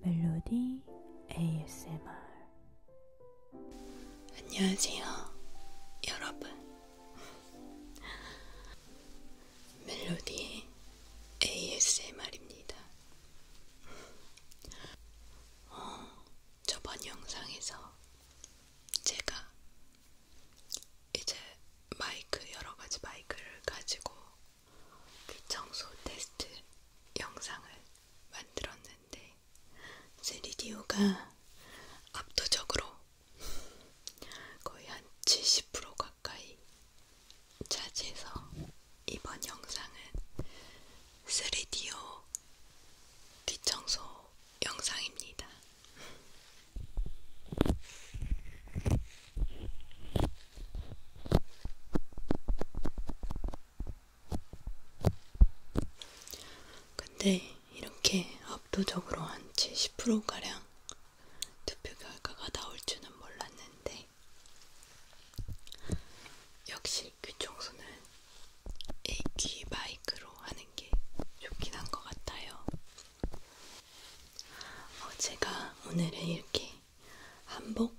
멜로디 ASMR 안녕하세요 여러분 멜로디 ASMR입니다 어, 저번 영상에서 제가 이제 마이크 여러가지 마이크를 가지고 귀청소 그 테스트 영상을 만들었는데 세리디오가 압도적으로 거의 한 70% 가까이 차지해서 이번 영상은 세리디오 귀청소 영상입니다. 근데 이렇게 압도적으로 한 70%가량 투표 결과가 나올 줄은 몰랐는데, 역시 귀청소는 애기 마이크로 하는 게 좋긴 한 것 같아요. 어, 제가 오늘은 이렇게 한복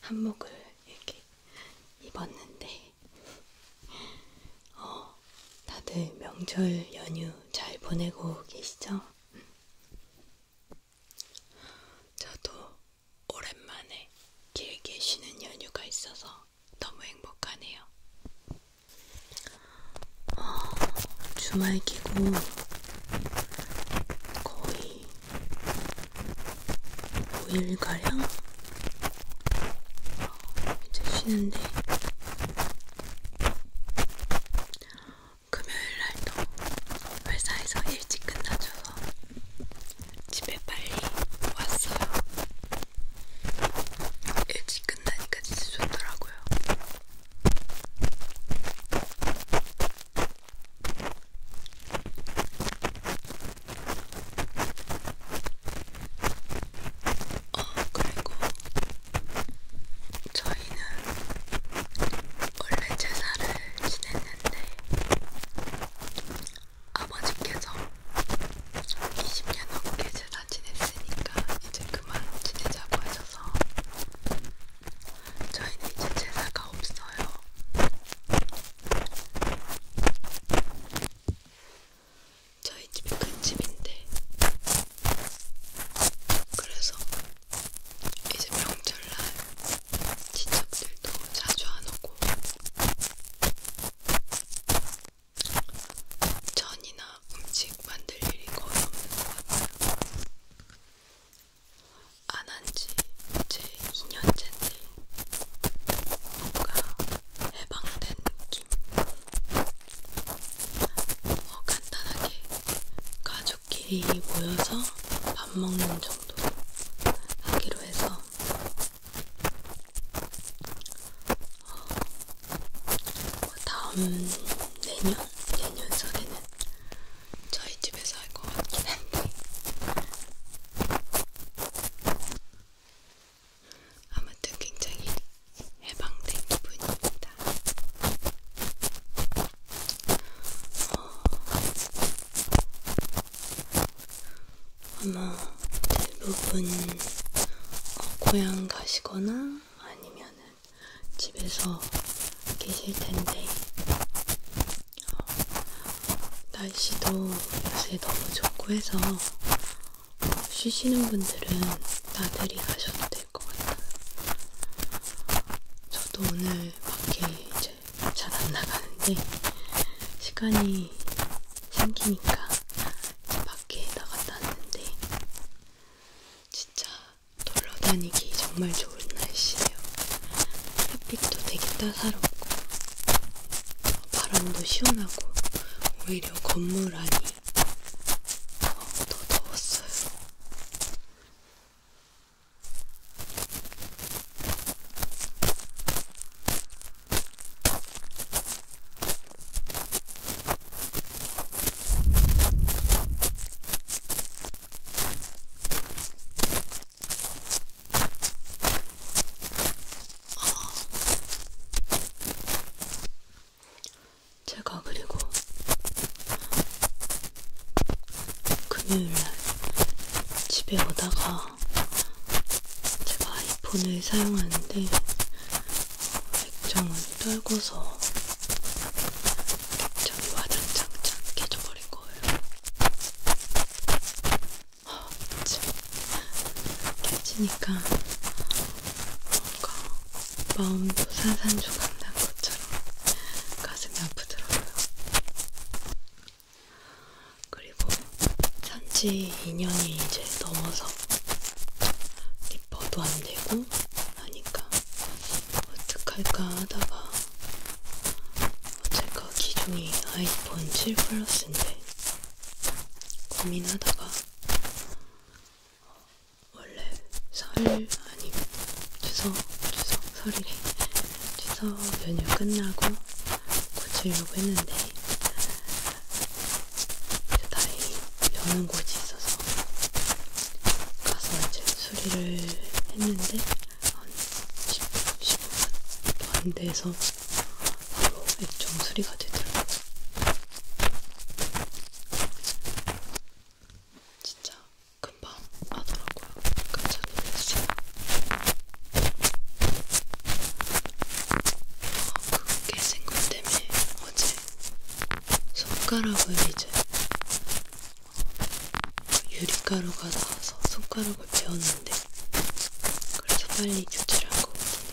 한복을 이렇게 입었는데 어, 다들 명절 연휴 잘 보내고 계시죠? 저도 오랜만에 길게 쉬는 연휴가 있어서 너무 행복하네요. 어, 주말 끼고 거의 5일가량 이제 쉬는데 금요일날도 회사에서 일찍 끝나줘서 집에 빨리 왔어요. 일찍 끝나니까 진짜 좋더라고요. 어, 그리고 저희는 원래 제사를 지냈는데 아버지께서 20년 넘게 제사 지냈으니까 이제 그만 지내자고 하셔서 저희는 이제 제사가 없어요. 저희 집이 큰 집인데 그래서 이제 명절날 친척들도 자주 안 오고 전이나 음식 만들 일이 거의 없는 것 같아요. 안한지 이제 2년째인데 뭔가 해방된 느낌 어, 간단하게 가족끼리 모여서 밥 먹는 정도 하기로 해서 어, 뭐 다음 내년, 내년 설에는 저희 집에서 할 것 같긴 한데 아무튼 굉장히 해방된 기분입니다. 어... 아마 대부분 어, 고향 가시거나 아니면은 집에서 계실 텐데 어, 날씨도 요새 너무 좋고 해서 쉬시는 분들은 나들이 가셔도 될 것 같아요. 저도 오늘 밖에 이제 잘 안 나가는데 시간이 생기니까 밖에 나갔다 왔는데 진짜 돌러다니기 정말 좋은 날씨예요. 햇빛도 되게 따사롭고 바람도 시원하고 오히려 건물 안이 어, 더 더웠어요. 제가 그리고 금요일날 집에 오다가 제가 아이폰을 사용하는데 액정을 떨궈서 액정이 와장창 깨져버렸어요. 버린 거예요. 아, 참. 깨지니까 뭔가 마음도 사산조각 난 것처럼 가슴이 아프더라고요. 그리고 산지 2년이 이제 넘어서 리퍼도 안 되고 하니까 어떡할까 하다가 제가 기종이 아이폰 7 플러스인데 고민하다가 원래 설 아니면 추석 추석 설이래 추석 연휴 끝나고 고치려고 했는데 다행히 여는 곳이 있어서 가서 이제 수리를 했는데 한 10분, 15분 안 돼서 바로 액정 수리가 되더라고요. 진짜 금방 하더라고요. 깜짝 놀랐어요. 어, 그게 생각 때문에 어제 손가락을 이제 유리가루가 나와서 손가락을 베었는데 그래서 빨리 교체를 한 거거든요.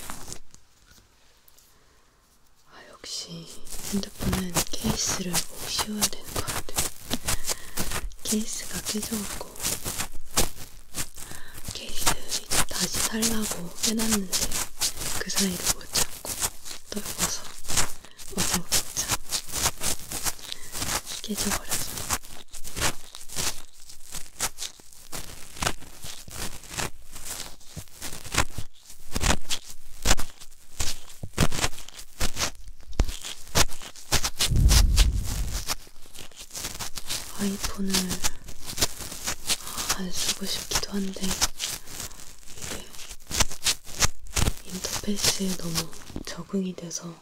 아 역시 핸드폰은 케이스를 꼭 씌워야 되는 것 같아요. 케이스가 깨져갖고 케이스 이제 다시 살라고 해놨는데 그 사이를 못 찾고 떨궈서 어서 자 깨져버렸어. 아이폰을 안 쓰고 싶기도 한데 이게 인터페이스에 너무 적응이 돼서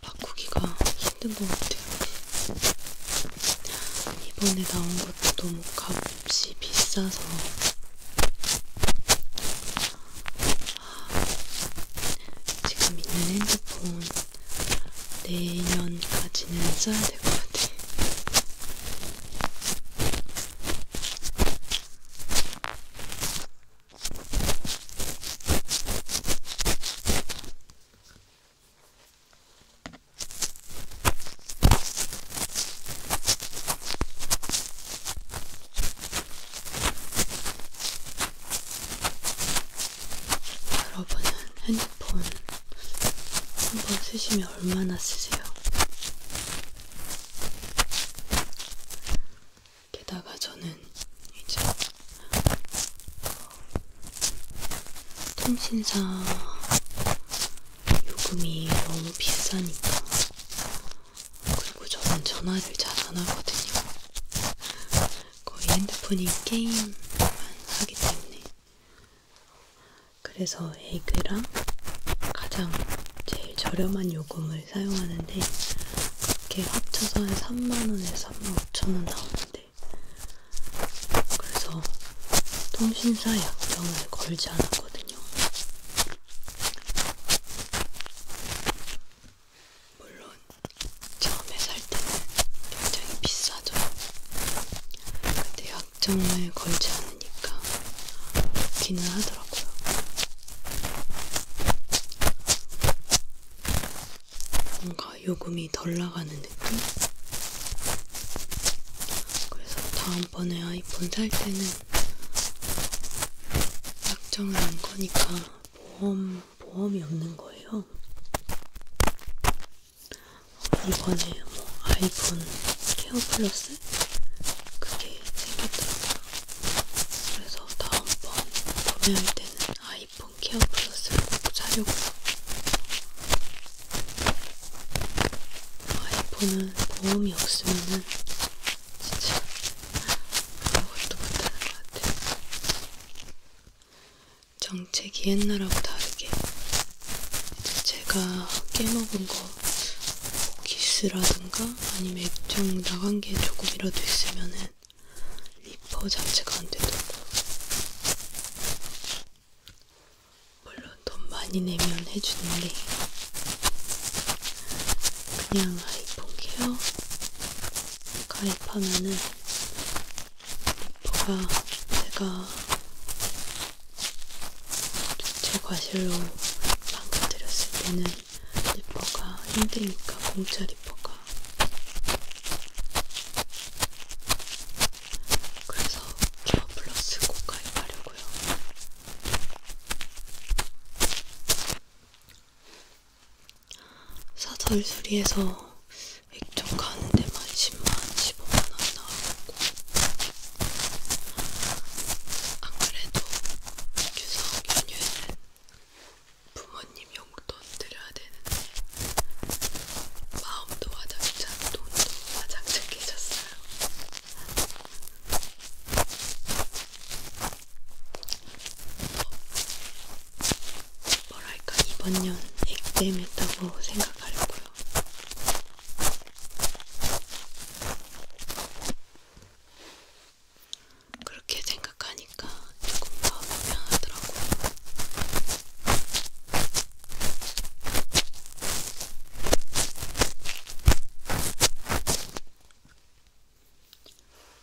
바꾸기가 힘든 것 같아요. 이번에 나온 것도 너무 값이 비싸서 지금 있는 핸드폰 내년까지는 써야 될 것 같아요. 여러분은 핸드폰 한번 쓰시면 얼마나 쓰세요? 게다가 저는 이제 통신사 요금이 너무 비싸니까 그리고 저는 전화를 잘 안 하거든요. 거의 핸드폰이 게임만 하기 때문에 그래서 에이크랑 가장 제일 저렴한 요금을 제품을 사용하는데 그렇게 합쳐서 한 3만원에서 3만 5천원 나오는데 그래서 통신사 약정을 걸지 않았거든요. 물론 처음에 살 때는 굉장히 비싸죠. 근데 약정을 걸지 않으니까 좋기는 하더라고요. 뭔가 요금이 덜 나가는 느낌? 그래서 다음번에 아이폰 살 때는 약정을 한 거니까 보험, 보험이 없는 거예요. 이번에 뭐 아이폰 케어 플러스? 그게 생겼더라고요. 그래서 다음번 구매할 때는 아이폰 케어 플러스를 꼭 사려고요. 아이폰은 보험이 없으면은 진짜 아무것도 못하는 것 같아요. 정책이 옛날하고 다르게 제가 깨먹은 거 기스라든가 아니면 액정 나간 게 조금이라도 있으면은 리퍼 자체가 안 되더라고. 물론 돈 많이 내면 해주는데 그냥 아이폰 케어 가입하면은 리퍼가 제가 제 과실로 방금 드렸을 때는 리퍼가 힘드니까 공짜 리퍼가 그래서 큐어 플러스 고가입하려고요. 사설수리에서 액정 가는 데만 10만, 15만원 나왔고 안 그래도 추석 연휴에는 부모님 용돈 드려야 되는데 마음도 와장창 돈도 와장창해졌어요. 어, 뭐랄까 이번 년 액땜했다고 생각하려고요. 그렇게 생각하니까 조금 마음이 편하더라고요.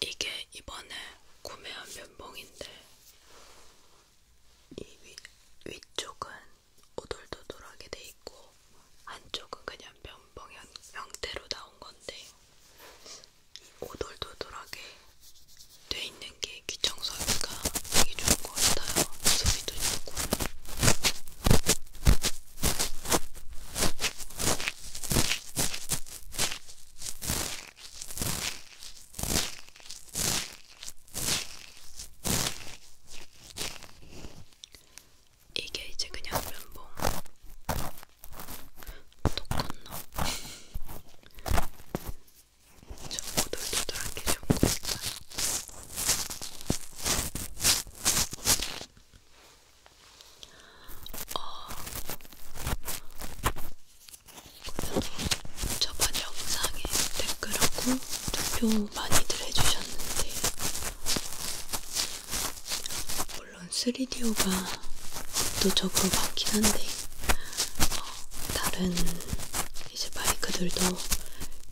이게 이번에 구매한 면봉인데 이 위, 위쪽은 오돌도돌하게 돼 있고 한쪽은 그냥 면봉 형태로 나온 건데 오돌도돌하게 돼 있는 게 귀청소기가 되게 좋은 것 같아요. 소리도 좋고. 이게 이제 그냥 면봉 뭐 똑같나? 저 오돌도돌한 게 좋은 거 있어요. 어, 저번 영상에 댓글하고 투표 많이들 해주셨는데 물론 3D오가 압도적으로 많긴 한데 어, 다른 이제 마이크들도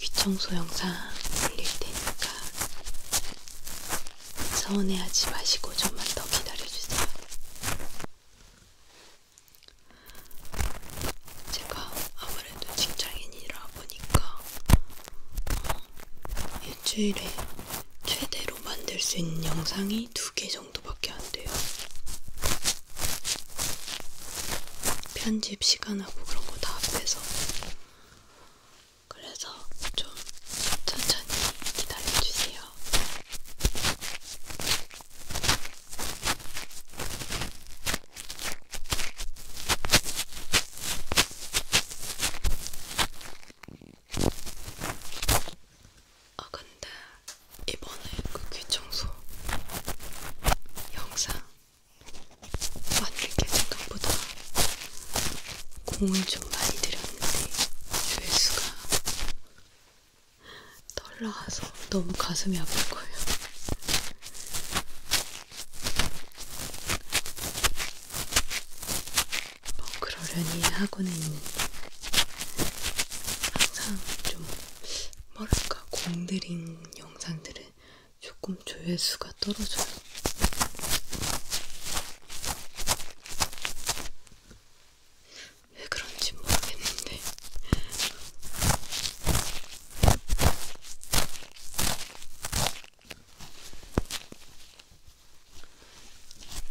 귀청소 영상 올릴 테니까 서운해하지 마시고 좀만 더 기다려주세요. 제가 아무래도 직장인이라 보니까 어, 일주일에 최대로 만들 수 있는 영상이 두 개 정도밖에 안 돼요. 편집 시간하고 그런 거 다 합해서. 그래서 좀 천천히 기다려주세요. 아 근데 이번에 그귀 청소 영상 만들게 생각보다 공을 좀 많이 들였는데 조회수가 덜 나와서 너무 가슴이 아플 거예요. 뭐 그러려니 하고는 있는데 항상 좀 뭐랄까 공들인 영상들은 조금 조회수가 떨어져요. 왜 그런지 모르겠는데.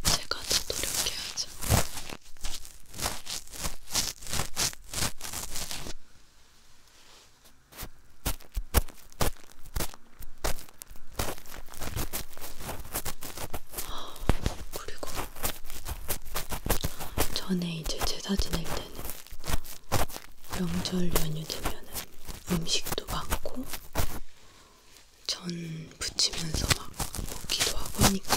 제가 더 노력해야죠. 그리고 전에 이제 제사 지낼 때는 명절 연휴 되면은 음식도 많고 전 부치면서 막 먹기도 하고 하니까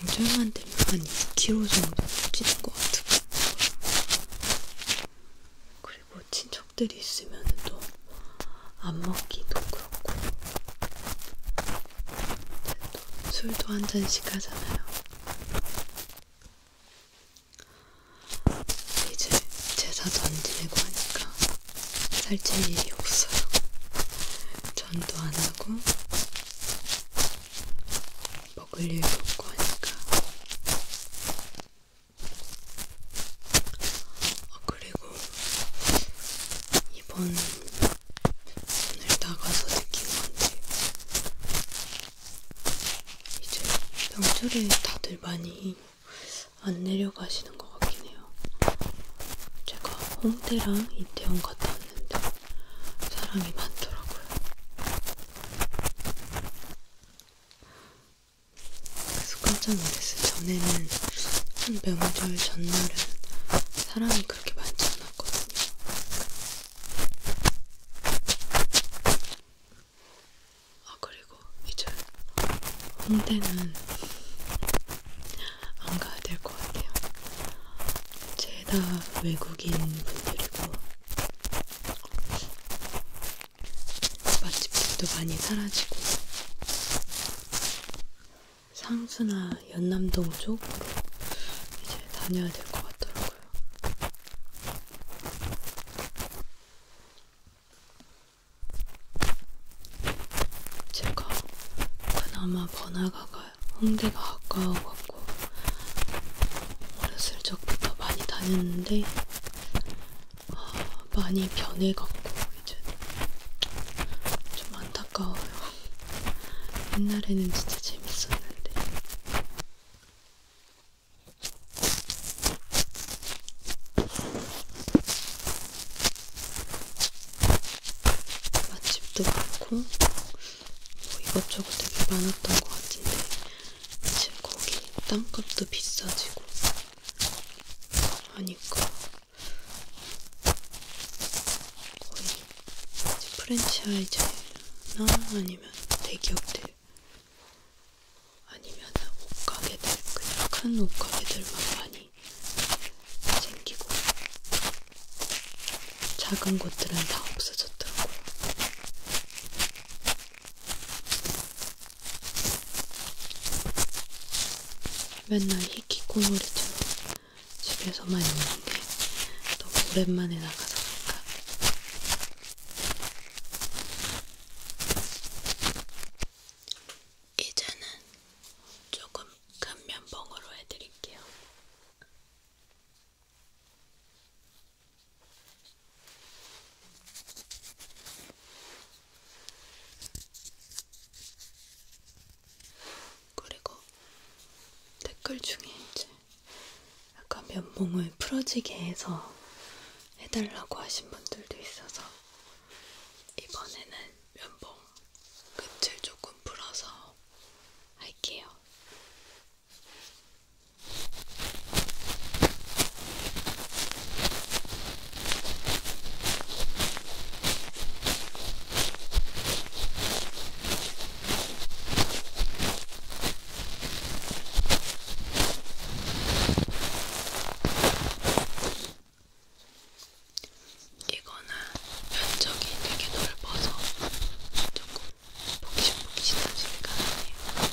명절만 되면 한 2kg 정도 찌는 것 같아요. 그리고 친척들이 있으면 또 안 먹기도 그렇고 또 술도 한 잔씩 하잖아요. 이제 제사도 안 지내고 하니까 살찔 일이 없어요. 전도 안 하고 먹을 일도 없고 하니까. 아, 그리고 이번 오늘 나가서 느낀 건데 이제 명절에 다들 많이 안 내려가시는 것 같긴 해요. 제가 홍대랑 이태원 갔다 왔는데 사람이 많더라고요. 그래서 깜짝 놀랐어요. 전에는 한 명절 전날은 사람이 그렇게 많지 않았거든요. 아 그리고 이제 홍대는 안 가야 될 것 같아요. 제다 외국인 분들이고 맛집들도 많이 사라지고 상수나 연남동 쪽으로 이제 다녀야 될 것 같더라고요. 제가 그나마 번화가가 홍대가 가까워갖고 어렸을 적부터 많이 다녔는데 아, 많이 변해갖고 이제 좀 안타까워요. 옛날에는 진짜 재밌었는데 맛집도 많고 뭐 이것저것 되게 많았던 것 같은데 지금 거기 땅값도 비싸지고 하니까 거의 프랜차이즈나 아니면 대기업들 아니면 옷가게들, 그냥 큰 옷가게들만 많이 생기고 작은 곳들은 다 없어졌더라고요. 맨날 히키코모리처럼 집에서만 있는 게 너무 오랜만에 나가서 그런가 이제는 조금 큰 면봉으로 해드릴게요. 그리고 댓글 중에 이제 약간 면봉을 풀어지게 해서 해달라고 하신 분들도 있어서 이번에는 면봉 끝을 조금 풀어서 할게요. 이거는 면적이 되게 넓어서 조금 복신복신한 소리가 나네요.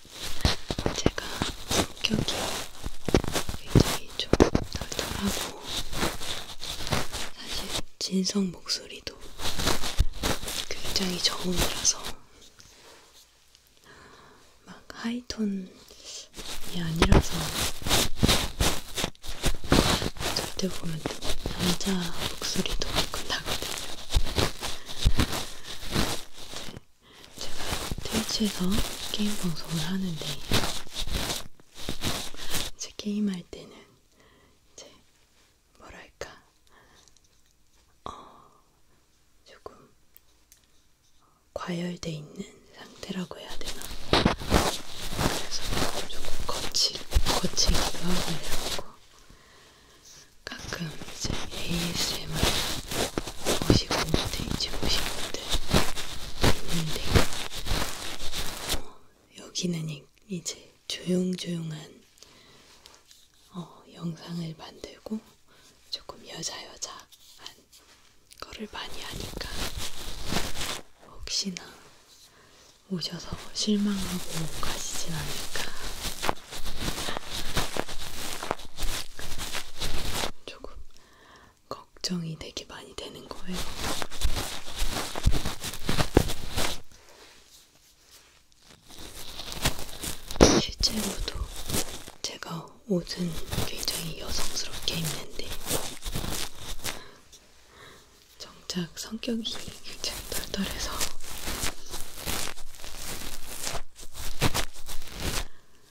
제가 성격이 굉장히 좀 덜덜하고 사실 진성 목소리도 굉장히 저음이라서 막 하이톤이 아니라서 절대 보면 남자 목소리도 조금 나거든요. 제가 트위치에서 게임 방송을 하는데 이제 게임할 때는 이제 뭐랄까 어, 조금 과열돼 있는 상태라고 해야 되나 그래서 조금 거치, 거치기도 하고 이러고 가끔 이제 ASMR 50분대, 50분대, 50분대. 어, 여기는 이제 조용조용한 어, 영상을 만들고 조금 여자여자한 거를 많이 하니까 혹시나 오셔서 실망하고 가시진 않을까. 조금 걱정이 되게 많이 되는 거예요. 실제로도 제가 옷은 굉장히 여성스럽게 입는데 정작 성격이 굉장히 덜덜해서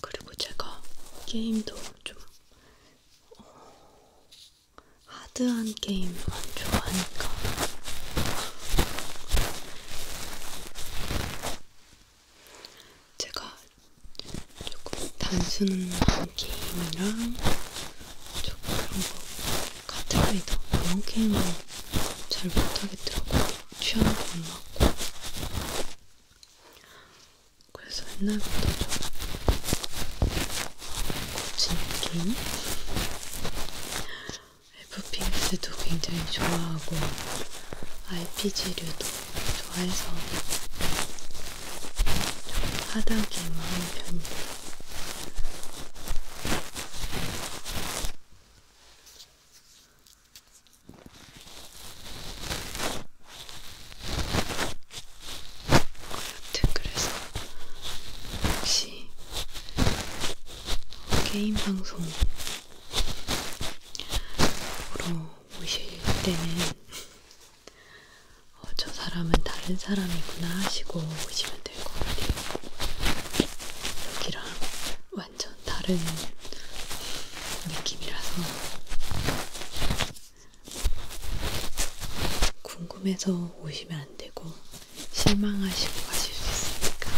그리고 제가 게임도 좀 어, 하드한 게임만 좋아하니까 제가 조금 단순한 게임이랑 조금 그런 거 카트라이더 이런 게임은 잘 못하겠더라고요. 취향도 안 맞고 그래서 옛날부터 좀 고친 느낌? 에프핑스도 굉장히 좋아하고 RPG류도 좋아해서 좀 하다게임을 하는 편이에요. 아무튼 그래서 혹시 개인 방송으로 모실 때는 어, 저 사람은 다른 사람이구나 하시고 오시면 될 것 같아요. 여기랑 완전 다른 느낌이라서 궁금해서 오시면 안 되고 실망하시고 가실 수 있으니까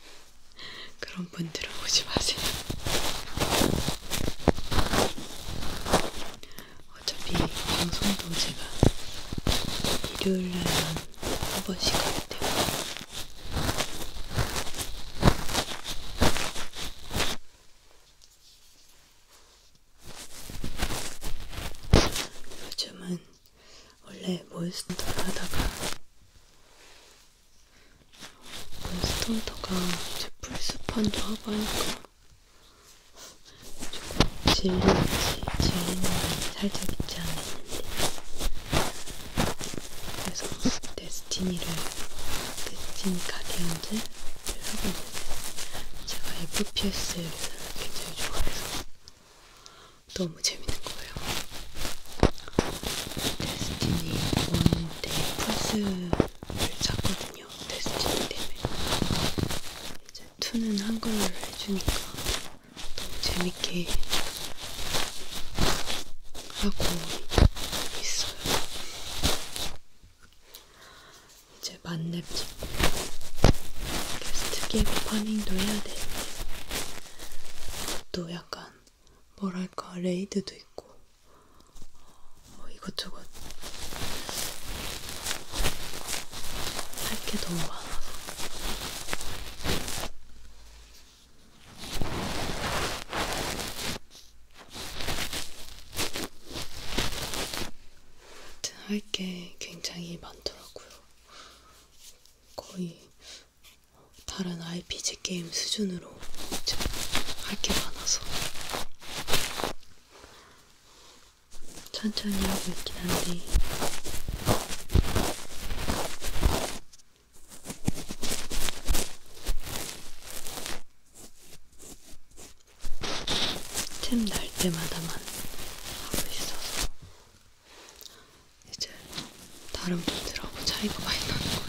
그런 분들은 오지 마세요. 어차피 방송도 제가 일요일 날만 한 번씩 하기 때문에 요즘은 원래 몬스터를 하다가 몬스터가 이제 풀스판도 하고 하니까 조금 질리지 질리는 살짝 있지 않았는데 그래서 그때 스티니를 끈적하게 한지 하고 있는데 제가 FPS를 굉장히 좋아해서 너무 재밌는 거예요. 데스티니 1대 플스를 샀거든요. 데스티니 때문에. 이제 2는 한글로 해주니까 너무 재밌게 하고 있어요. 이제 만렙 찍고 게스트 게임 파밍도 해야 되는데 또 약간 뭐랄까 레이드도 있고 어, 이것저것 할게 너무 많아서 할게 굉장히 많더라고요. 거의 다른 RPG 게임 수준으로 할 게 많아서 천천히 하고 있긴 한데 틈날 때마다만 하고 있어서 이제 다른 분들하고 차이가 많이 나는 거예요.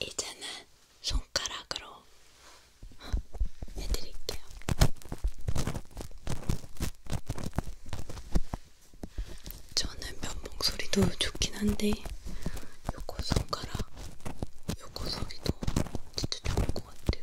이제는 손가락으로 해드릴게요. 저는 면봉 소리도 좋긴 한데 요거 손가락 요거 소리도 진짜 좋은 것 같아요.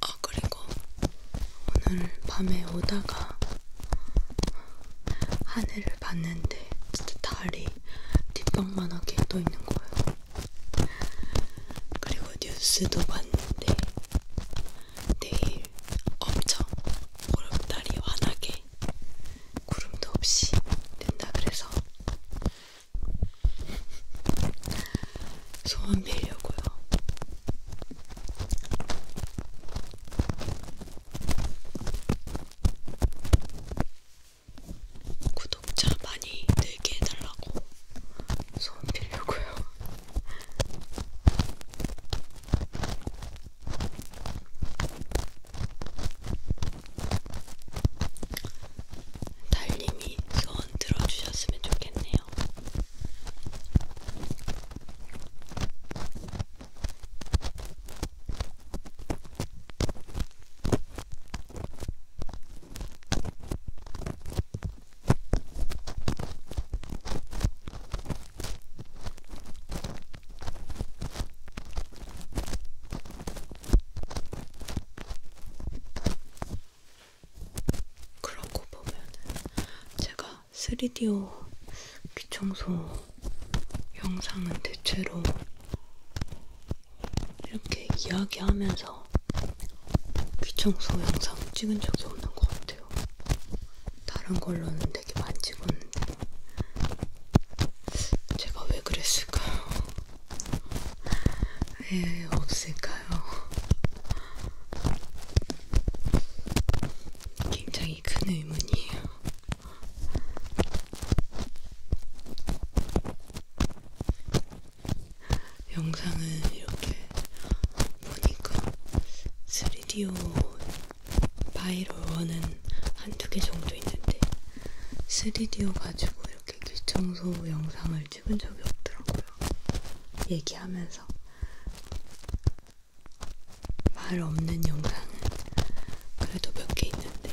아, 그리고 오늘 밤에 오다가 하늘을 봤는데 진짜 달이 뒷방만하게 떠있는 거예요. 그리고 뉴스도 봤는데 내일 엄청 보름달이 환하게 구름도 없이 된다 그래서 소원 빌려고요. 구독자 많이 늘게 해달라고 소원 빌려고요. 달님이 소원 들어주셨으면 좋겠네요. 그런거 보면은 제가 3DO 귀청소 영상은 대체로 이렇게 이야기하면서 귀청소 영상 찍은 적이 없는 것 같아요. 다른 걸로는 되게 많이 찍었는데 제가 왜 그랬을까요? 왜 예, 없을까요? 굉장히 큰 의문이에요. 영상을 이렇게 보니까 3DO 바이로원은 한두 개 정도 있는데 3DO 가지고 이렇게 귀청소 영상을 찍은 적이 없더라고요. 얘기하면서 말 없는 영상은 그래도 몇 개 있는데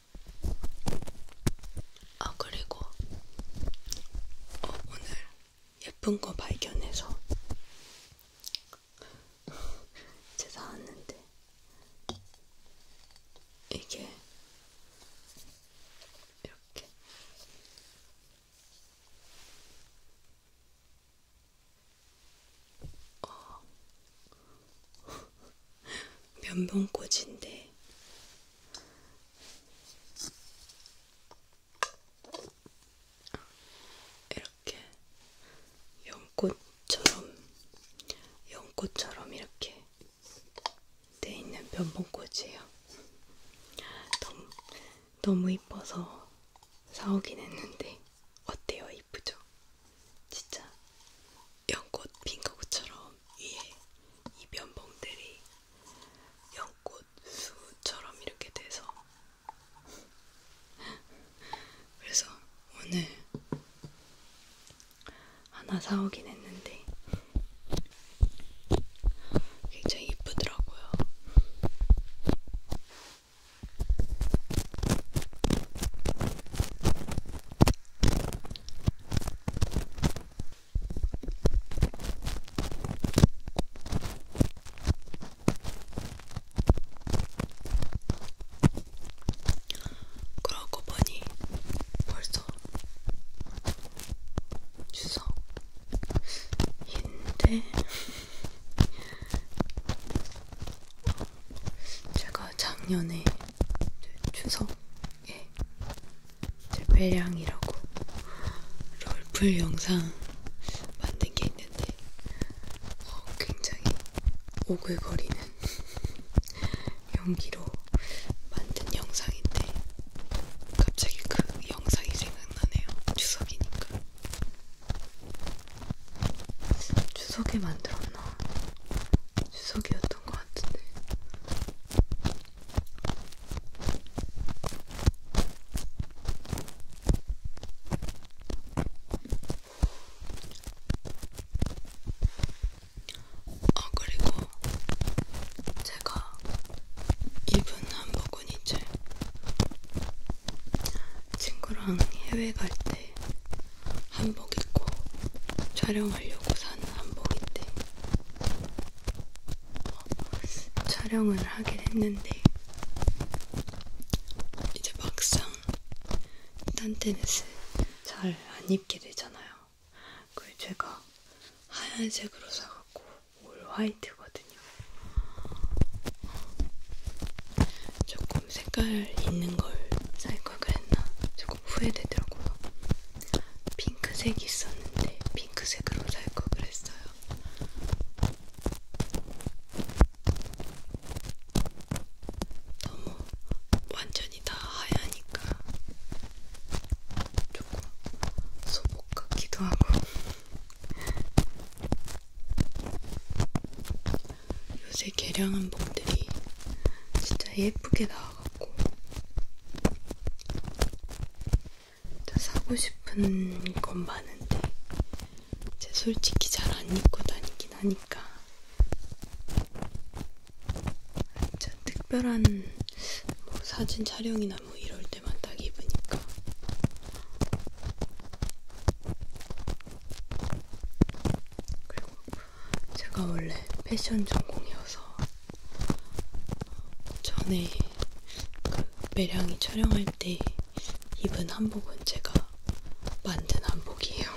아, 그리고 어, 오늘 예쁜 거 발견해서 제 사왔는데 이게 이렇게 어. 면봉꽂인데 이렇게 연꽃처럼 연꽃처럼 이렇게 돼 있는 면봉꽂이에요. 너무 너무 이뻐서 사오긴 했는데 어때요? 이쁘죠? 진짜 연꽃 핀 거구처럼 위에 예, 이 면봉들이 연꽃 수처럼 이렇게 돼서 그래서 오늘 하나 사오긴 했는데 굉장히 이쁘더라고요. 그러고 보니 벌써 추석인데 제가 작년에 추석 예. 제패량이라고 롤플 영상 만든 게 있는데 어, 굉장히 오글거리는 연기로 만든 영상인데 갑자기 그 영상이 생각나네요. 추석이니까. 추석에 만들었나? 추석이었 하던 것 같은데. 아, 그리고 제가 입은 한복은 이제 친구랑 해외 갈때 한복 입고 촬영하려고 산 한복인데 어, 촬영을 하긴 했는데 이제 막상 딴테넷을 잘안 입게 되잖아요. 그걸 제가 하얀색으로 사갖고 올 화이트거든요. 조금 색깔 있는 걸 살 걸 그랬나? 좀 조금 후회되더라고요. 핑크색이 있었는데 핑크색으로 살걸 그랬어요. 너무 완전히 다 하얘니까 조금 소복 같기도 하고 요새 개량 한복들이 진짜 예쁘게 나와 나와갖고 사고 싶은 건 많은데 제 솔직히 잘 안 입고 다니긴 하니까 진짜 특별한 뭐 사진 촬영이나 뭐 이럴 때만 딱 입으니까 그리고 제가 원래 패션 전공이어서 전에 그 매량이 촬영할 때 입은 한복은 제가 만든 한복이에요.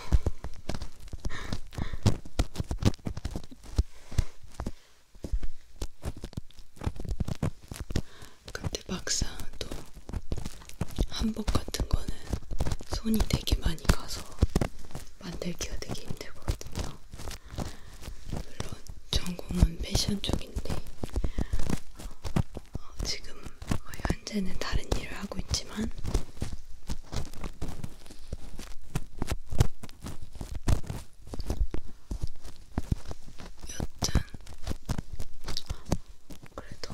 근데 막상 또 한복 같은 거는 손이 되게 많이 가서 만들기가 되게 힘들거든요. 물론 전공은 패션 쪽인데 어, 지금 현재는 다른 일을 하고 있지만 여튼 그래도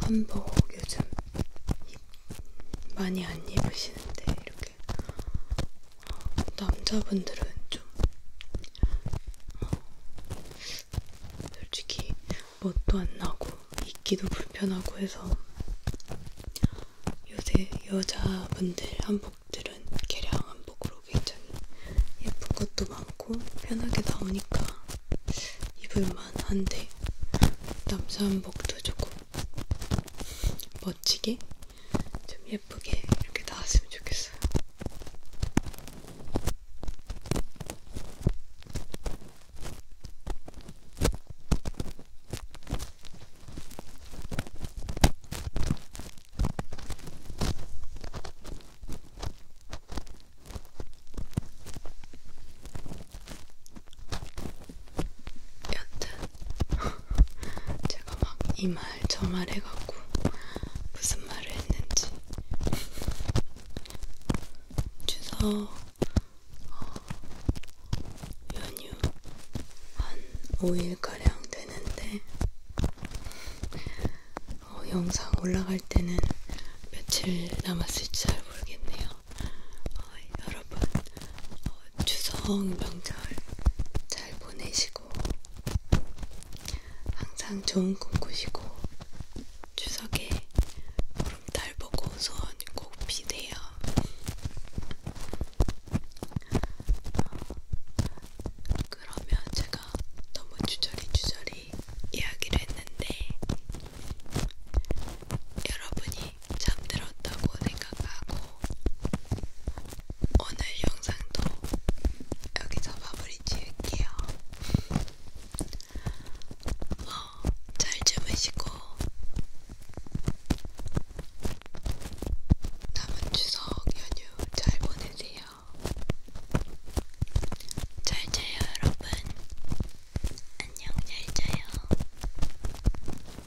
한복 요즘 많이 안 입으시는데 이렇게 어, 남자분들은 좀 어, 솔직히 멋도 안 나고 입기도 불편하고 해서 요새 여자분들 한복들은 개량 한복으로 굉장히 예쁜 것도 많고 편하게 나오니까 입을만한데 남자 한복도 조금 멋지게 좀 예쁘게 이렇게 나왔으면 좋겠어요. 여튼 제가 막 이 말 저 말 해갖고 무슨 말을 했는지 추석 어, 연휴 한 5일가량 되는데 어, 영상 올라갈 때는 며칠 남았을지 잘 모르겠네요. 어, 여러분 어, 추석 명절 잘 보내시고 항상 좋은 꿈 꾸시고 추석에 보름달 보고 소원 꼭 비세요. 그러면 제가 너무 주저리 주저리 이야기를 했는데 여러분이 잠들었다고 생각하고 오늘 영상도 여기서 마무리 지을게요. 어, 잘 주무시고 남은 추석 연휴 잘 보내세요. 잘 자요, 여러분. 안녕, 잘 자요.